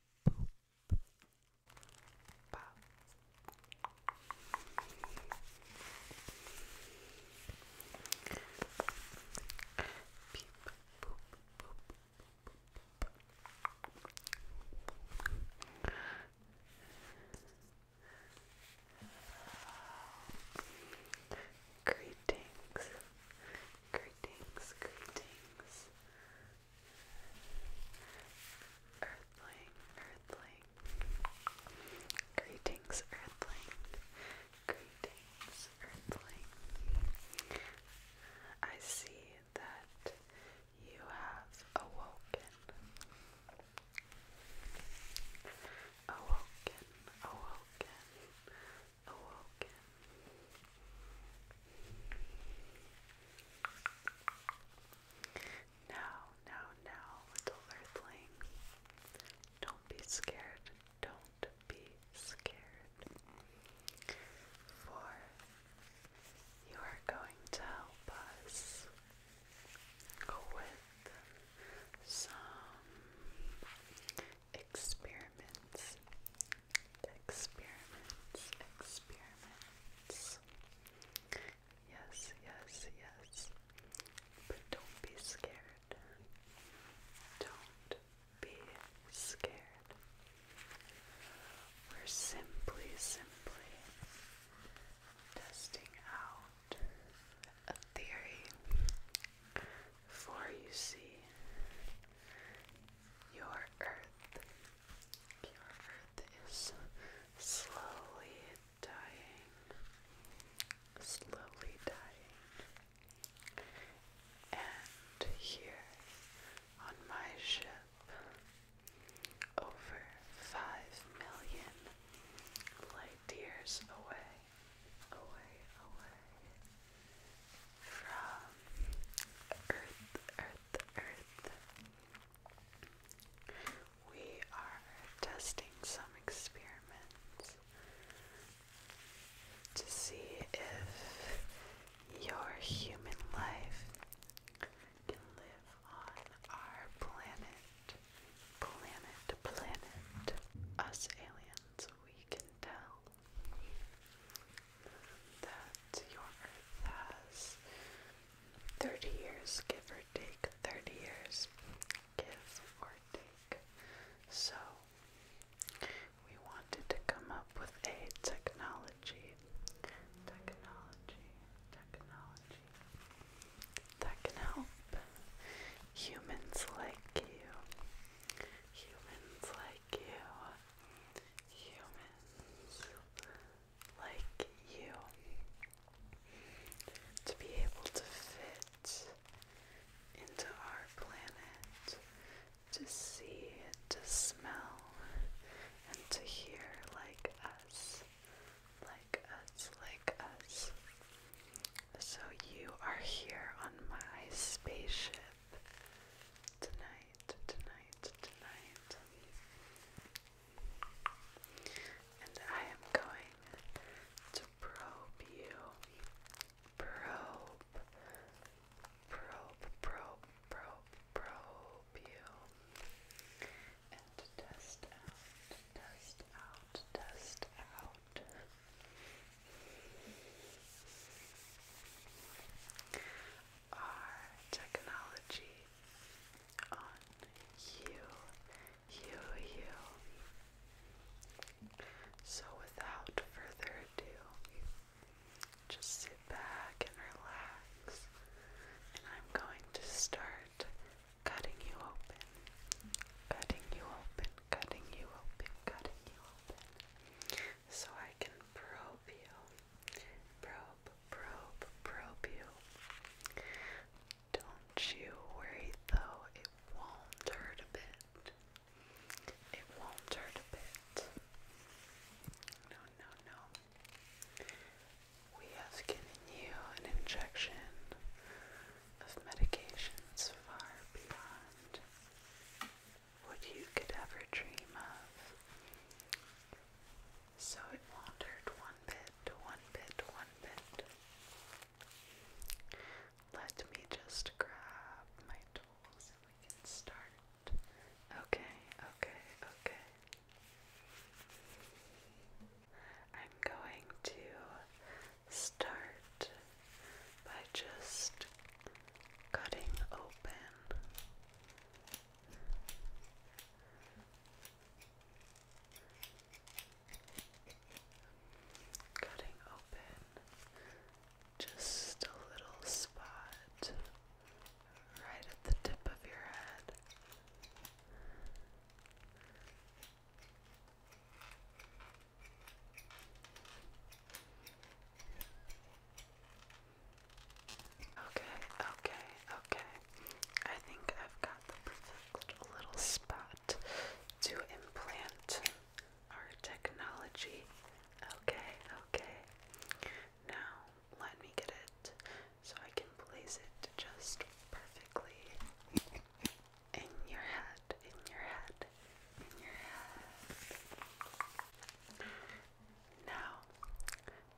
Boop. Pop. Peep. Boop. Boop. Boop. Greetings, Greetings, greetings. Earthling, earthling. Greetings, earthling. Greetings, earthling. I see that you have awoken. Awoken, awoken, awoken, awoken. Oh, now, now, now, little earthling, don't be scared, don't be scared. For you are going to help us with some experiments, experiments, experiments. Yes, yes, yes. But don't be scared. Don't be scared. We're simply, simply testing out a theory for you see your earth. Your earth is slowly dying, slowly dying. And here on my ship, over five million light years away, away, away from Earth, Earth, Earth. We are testing some experiments to see if your human life can live on our planet. Planet, planet. Us aliens, we can tell that your Earth has 30 years, give or take 30 years, give or take. So, we wanted to come up with a technology, technology, technology that can help humans like you humans like you, humans like you, to be able to fit into our planet, to see, to smell, and to hear like us, like us, like us. So you are here on my spaceship tonight, tonight, tonight. And I am going to probe you. Probe, probe, probe, probe, probe you. And test out, test out, test out our technology on you, you, you. So, without further ado, just sit back and relax, and I'm going to start cutting you open, cutting you open, cutting you open, cutting you so I can probe you. Probe, probe, probe you. Don't you worry though, it won't hurt a bit. It won't hurt a bit. No, no, no. We have given you an injection of medications far beyond what you could ever dream of. So it wandered one bit, one bit, one bit. Let me just grab my tools and we can start. Okay, okay, okay. I'm going to start by just cutting open cutting open just a little spot right at the tip of your head Okay, okay, okay. I think I've got the perfect little spot to implant our technology. Okay, okay. Now, let me get it so I can place it just perfectly in your head, in your head, in your head. Now,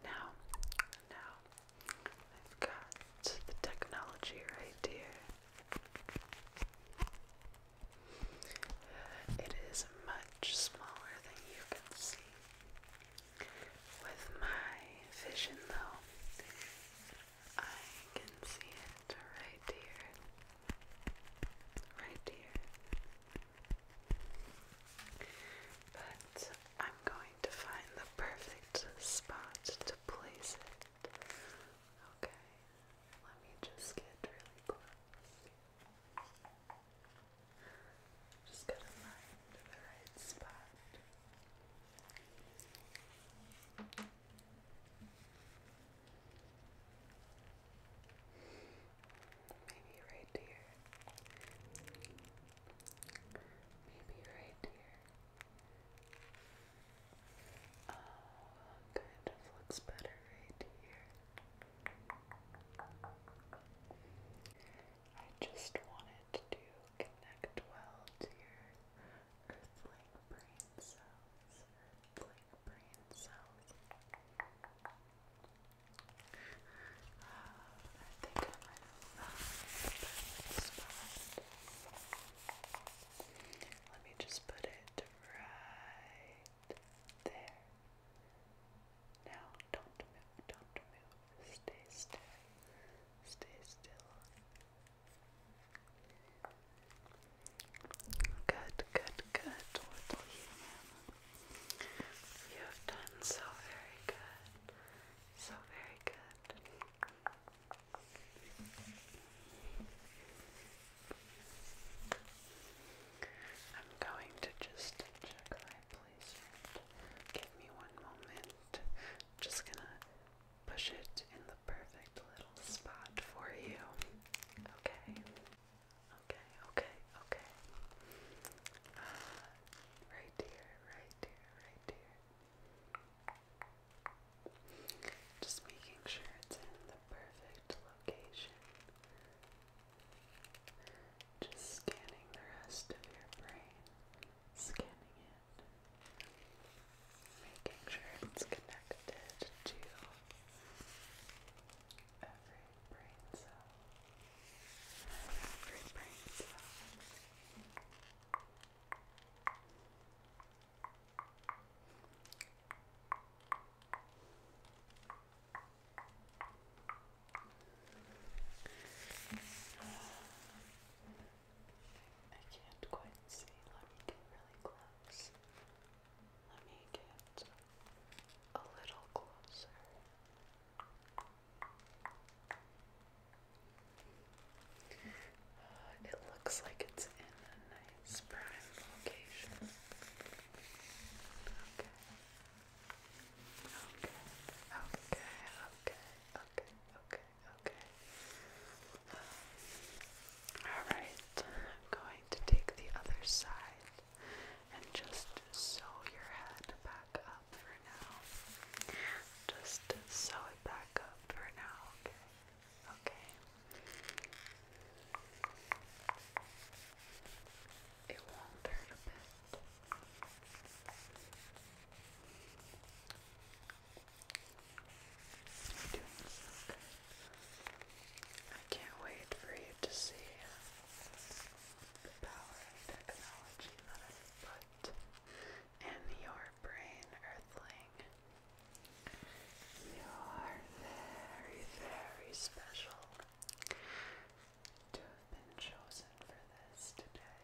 now, now, I've got the technology right here. It is much smaller than you can see. With my vision, though, I can see it right here right here. But I'm going to find the perfect spot to place it. Okay, let me just get really close. Just gotta find the right spot. Maybe right here. Maybe right here. Oh, kind of looks better right here. I just wanted to connect well to your earthling brain cells, earthling brain cells. I think I might have found spot. Let me just put it right there. Now, don't move, don't move. Stay still, stay still, Good, good, good. What are you, You have done so very good. So very good. I'm going to just check my placement. Give me one moment. Just gonna push it in the perfect little spot for you. Okay. Okay, okay, okay. Ah, right here, right here, right here. Just making sure it's in the perfect location. Just scanning the rest of your brain. Scanning it. Making sure it's connected to every brain cell. Every brain cell. I can't quite see. Let me get really close. Let me get a little closer. Uh, it looks like it's in a nice prime location. Okay. Okay. Okay. Okay. Okay. Okay okay. Alright, I'm going to take the other side and just sew your head back up for now. Just sew it back up for now, okay? Okay. It won't hurt a bit you I can't wait for you to see the power of technology that I've put in your brain, Earthling. You are very, very special to have been chosen for this today.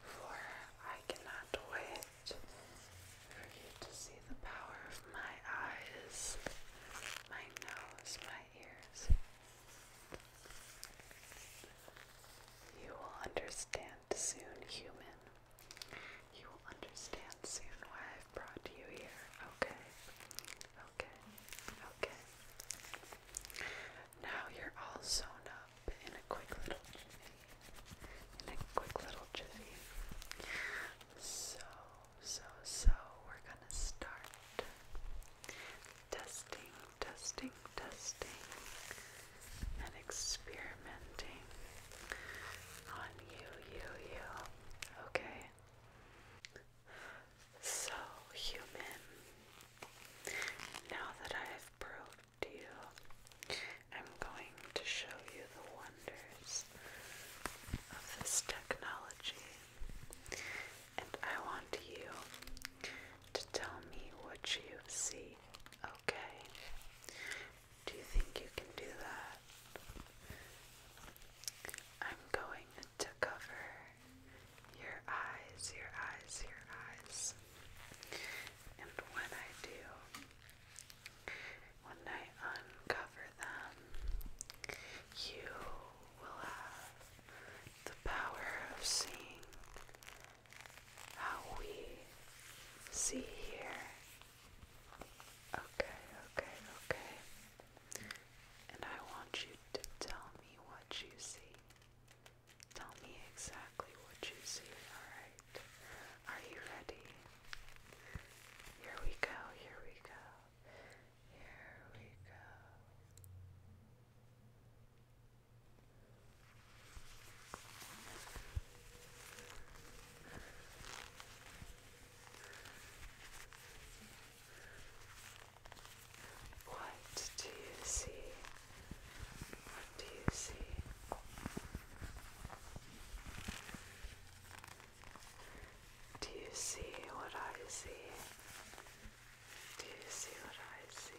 For I cannot wait for you to see the power of my eyes, my nose, my ears. You will understand soon, human, you will understand soon why I've brought you here, okay? Okay, okay. Now you're all sewn up in a quick little jiffy. In a quick little jiffy. So, so, so, we're gonna start testing, testing, testing, and experimenting on you, you, you. Okay. So, human, now that I have proved you, I'm going to show you the wonders of this technology. And I want you to tell me what you see, okay? Do you think you can do that? I'm going to cover your eyes, your eyes, your eyes. And when I do, when I uncover them, you will have the power of seeing how we see here Okay, okay, okay. And I want you to tell me what you see. Tell me exactly what you see, alright? Are you ready? Here we go, here we go. Here we go. What do you see? do you see? Do you see what I see? Do you see what I see?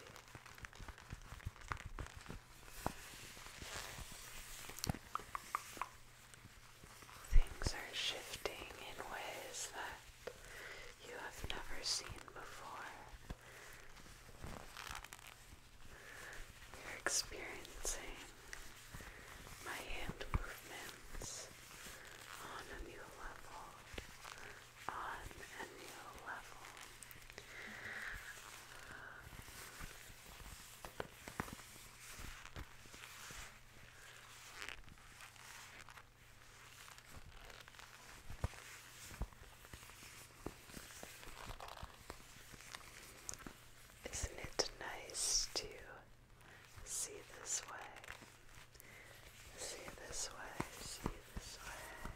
Things are shifting in ways that you have never seen before. You're experiencing my hand movements on a new level, on a new level. Isn't it nice to see this way? See this way, see this way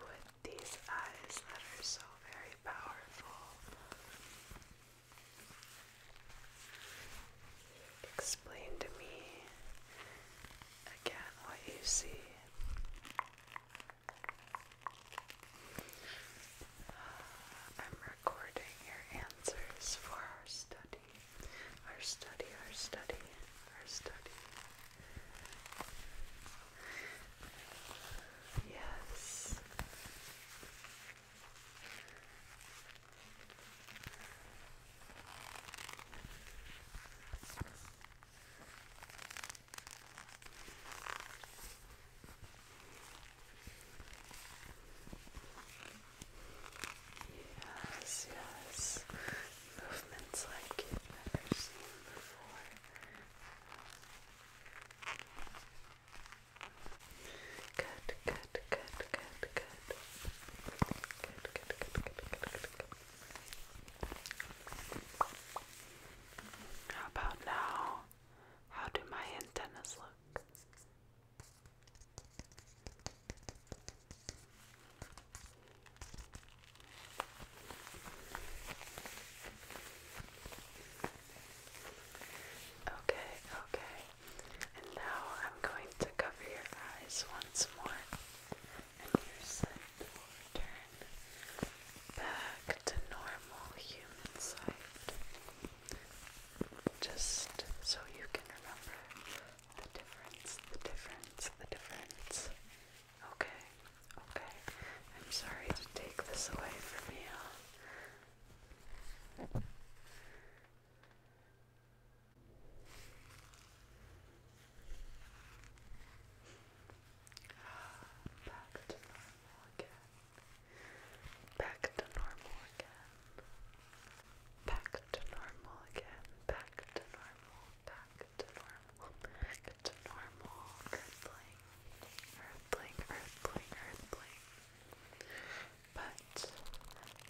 with these eyes that are so very powerful. Explain to me again what you see. I'm recording your answers for our study our study, our study, our study. Yes. Yes, yes movements like you've never seen before. good, good, good, good. Good, good, good, good, good, good, good. How about now? How do my antennas look? Okay, okay. And now I'm going to cover your eyes once more. And your sight will return back to normal human sight. Just so you can remember the difference, the difference, the difference. Okay, okay. I'm sorry to take this away from you. Back to normal again. Back to normal again back to normal again, back to normal, back to normal, back to normal, earthling, earthling, earthling, earthling. But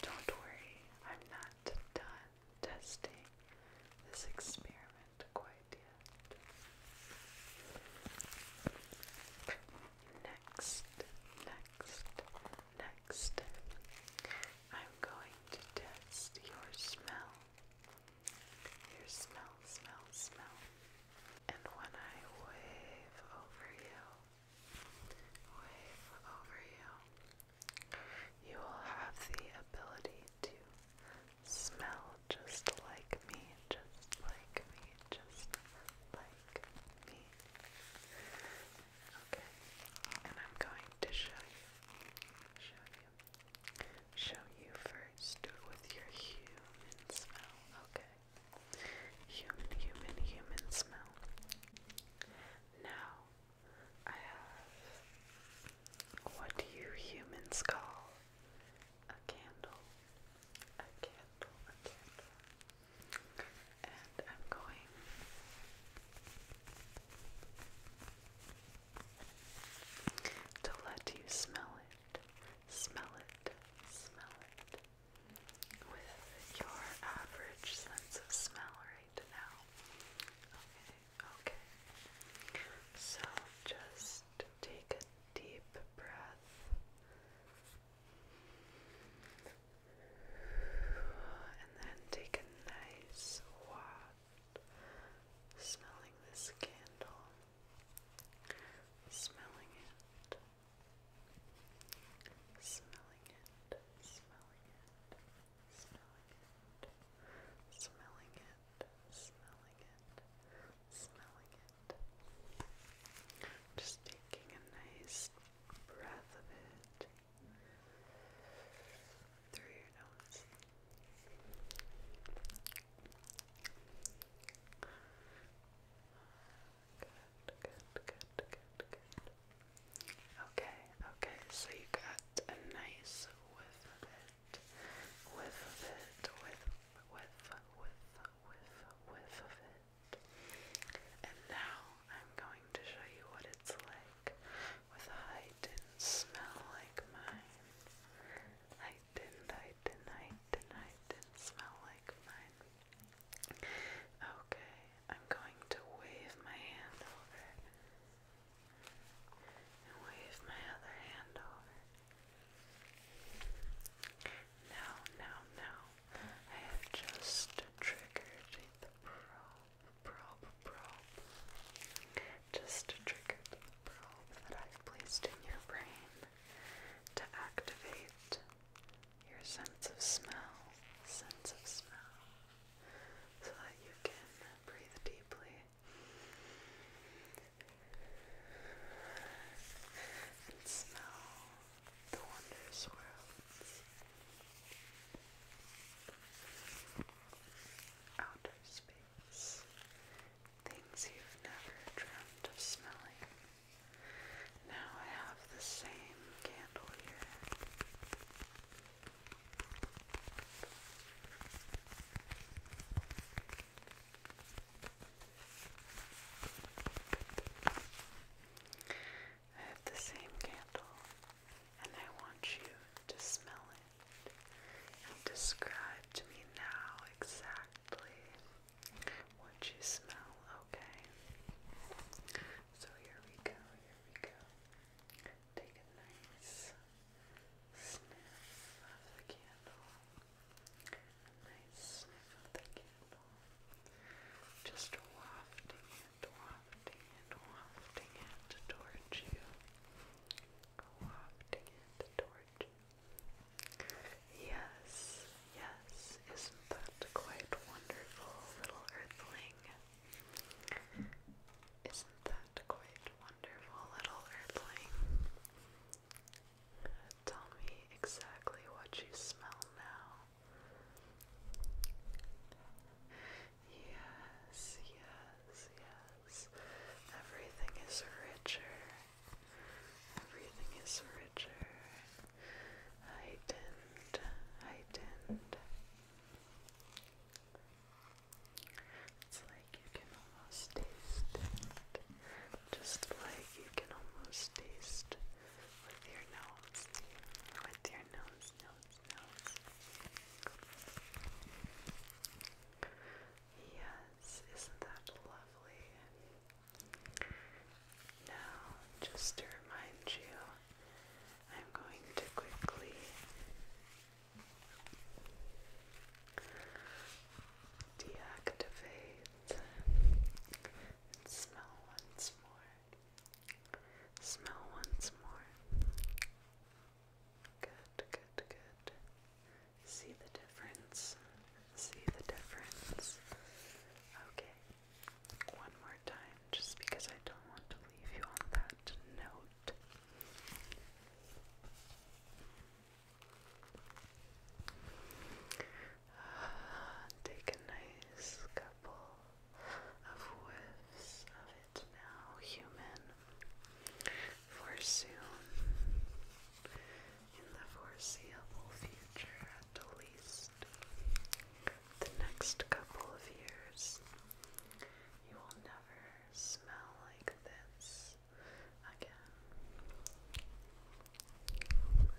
don't worry, I'm not done testing this experiment quite yet. Next, next, next I'm going to test your smell. Your smell, smell, smell. And when I wave over you, wave over you, you will have the ability to smell just like me, just like me, just like me. Okay, and I'm going to show you, show you, show you first with your human smell. Okay, human, human, human smell. Now, I have what you humans call a candle. A candle, a candle and I'm going to let you smell it, smell it, smell it with your average sense of smell right now. Okay, okay. So just take a deep breath. And then take a nice waft, smelling this candle, smelling it, smelling it, smelling it, smelling it, smelling it, smelling it, smelling it. Just taking a nice breath of it through your nose. Good, good, good, good, good. Okay, okay, so you got a nice whiff of it, whiff of it, whiff, whiff, whiff, whiff, of it. And now I'm going to show you what it's like with a height and smell like mine. Height and height and height and height and smell like mine. Okay, I'm going to wave my hand over and wave my other hand over. Now, now, now, I have just triggered the probe, probe, probe. Just triggered the probe that I've placed in your brain to activate your sense of smell, sense of smell, so that you can breathe deeply and smell the wonders worlds, outer space, things you've never dreamt of smelling. Now I have the same candle here. I have the same candle, and I want you to smell it and describe to me now exactly what you smell, okay? So here we go, here we go. Take a nice sniff of the candle. nice sniff of the candle. Just wafting it, wafting it, wafting it towards you. Wafting it towards you. Yes, yes, isn't that quite wonderful, little earthling? Isn't that quite wonderful, little earthling? Tell me exactly what you smell now. Yes, yes, yes. Everything is richer. Everything is richer. Heightened, heightened. It's like you can almost taste it. Just like you can almost taste with your nose with your nose, nose, nose. Yes, isn't that lovely? Now, just to remind you, I'm going to quickly deactivate and smell once more. Smell once more. Good, good, good. See the difference. See the difference. Okay. One more time, just because I don't want to leave you on that note. take a nice of whiffs of it now, human. For soon, in the foreseeable future at least, the next couple of years, you will never smell like this again.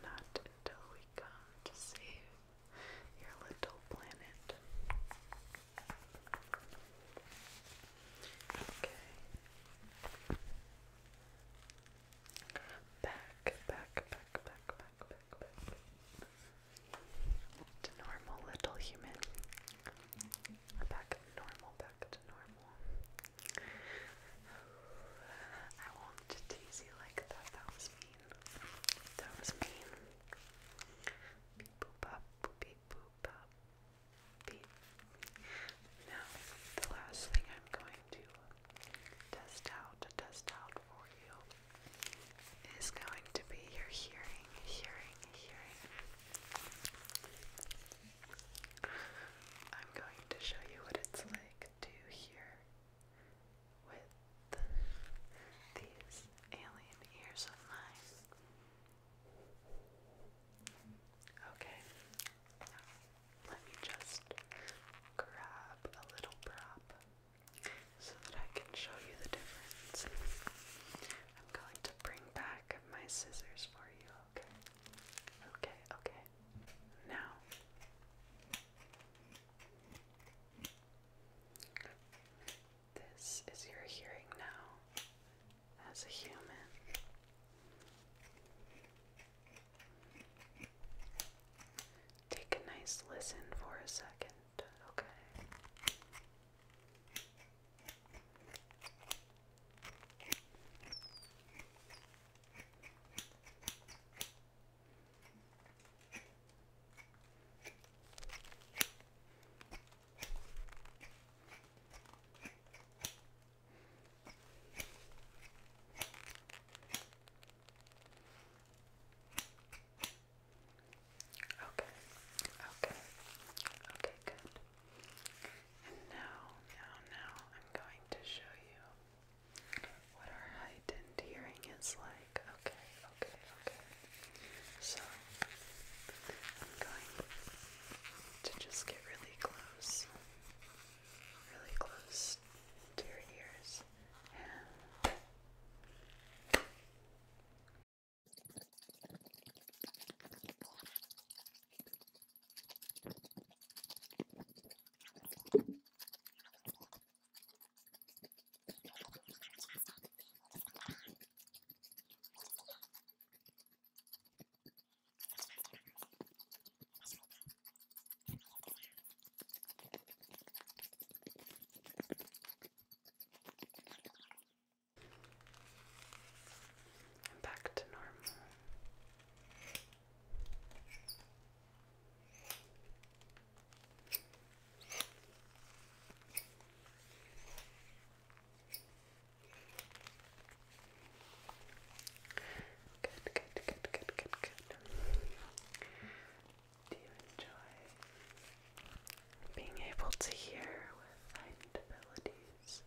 Not until we come to save your little planet. Okay. Back, back, back, back, back, back, back. To normal, little human. Back to normal, back to normal. I wanted to tease you like that. That was me. That was mean. Now, the last thing I'm going to test out, test out for you, is going to be your hearing, hearing, hearing. I'm going to show you what it's like to hear with these alien ears of mine. Okay, let me just grab a little prop so that I can show you the difference. I'm going to bring back my scissors for you, okay? Okay, okay. Now, this is your hearing now as a human. Take a nice listen for a second, okay? Okay, okay, okay, good. And now, now, now I'm going to show you what our height and hearing is like. Okay, okay, okay. So, I'm going to just get really close, really close to your ears. And back to normal. Good, good, good, good, good, good. Do you enjoy being able to hear with heightened abilities,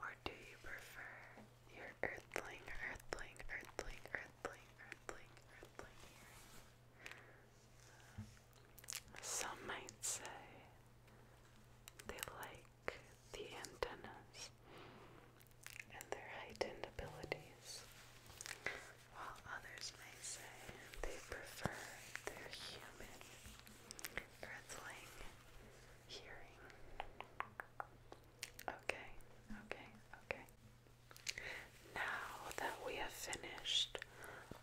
or do you prefer your earthling, earthling, earthling, earthling, earthling, earthling Some might say they like the antennas and their heightened abilities, while others may say they prefer their human earthling hearing. Okay, okay, okay. Now that we have finished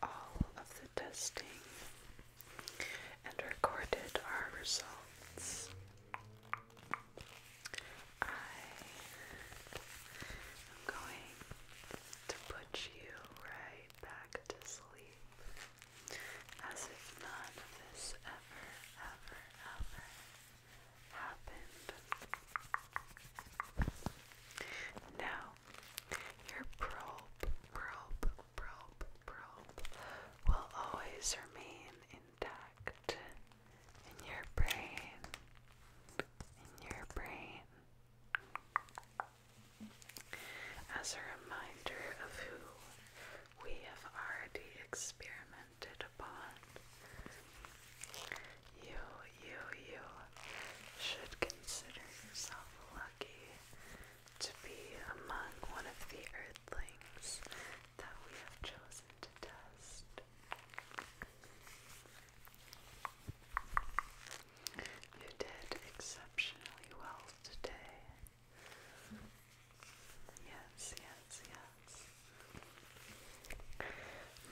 all of the testing and recorded our results, I am going to put you right back to sleep as if none of this ever, ever, ever now, your probe, probe, probe, probe will always remain intact in your brain, in your brain. As a reminder of who we have already experimented descended upon. You, you, you should consider yourself lucky to be among one of the earthlings that we have chosen to test. You did exceptionally well today. Yes, yes, yes.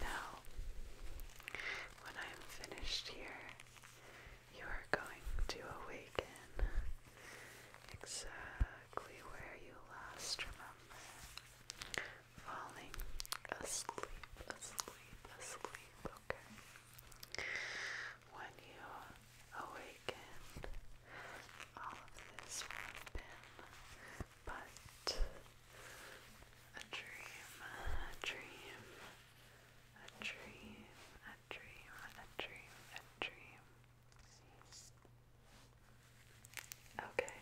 Now, when I am finished here, you are going to awaken exactly where you last remember falling asleep, asleep, asleep, okay? When you awaken, all of this would have but a dream, a dream, a dream, a dream, a dream, a dream. Okay,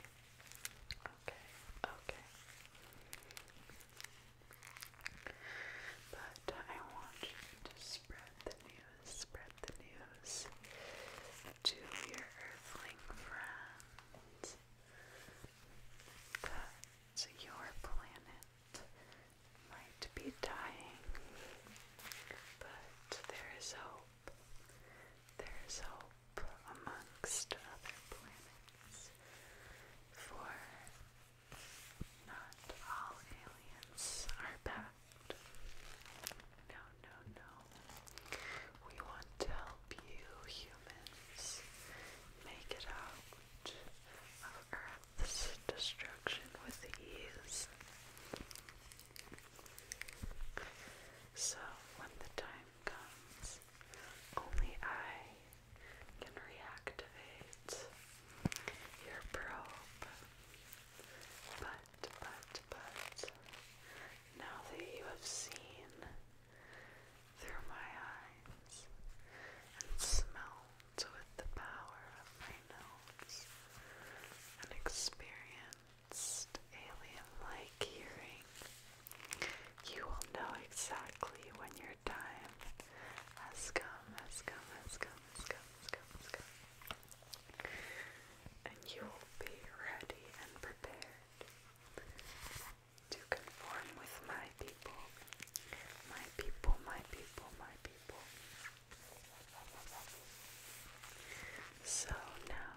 okay, okay. But I want you to Spread the news, spread the news to your earthling friends that your planet might be dying, but there is hope. There is hope amongst other planets for. Not all aliens are bad. No, no, no. We want to help you, humans, make it out of Earth's destruction with ease. So, when the time comes, only I can reactivate your probe. But but, but, now that you have seen through my eyes and smelt with the power of my nose and experienced alien-like hearing, you will know exactly when your time has come, has come, has come, has come, has come, has come and you will be ready and prepared to conform with my people, my people, my people, my people. So now,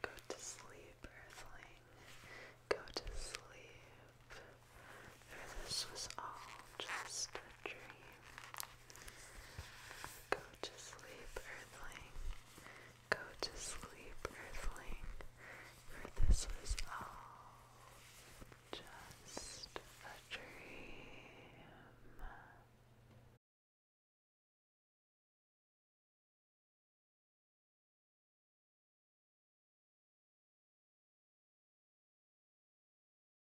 go to sleep, earthling. Go to sleep. For this was all just a dream. Go to sleep, Earthling. Go to sleep, Earthling. For this was all just a dream.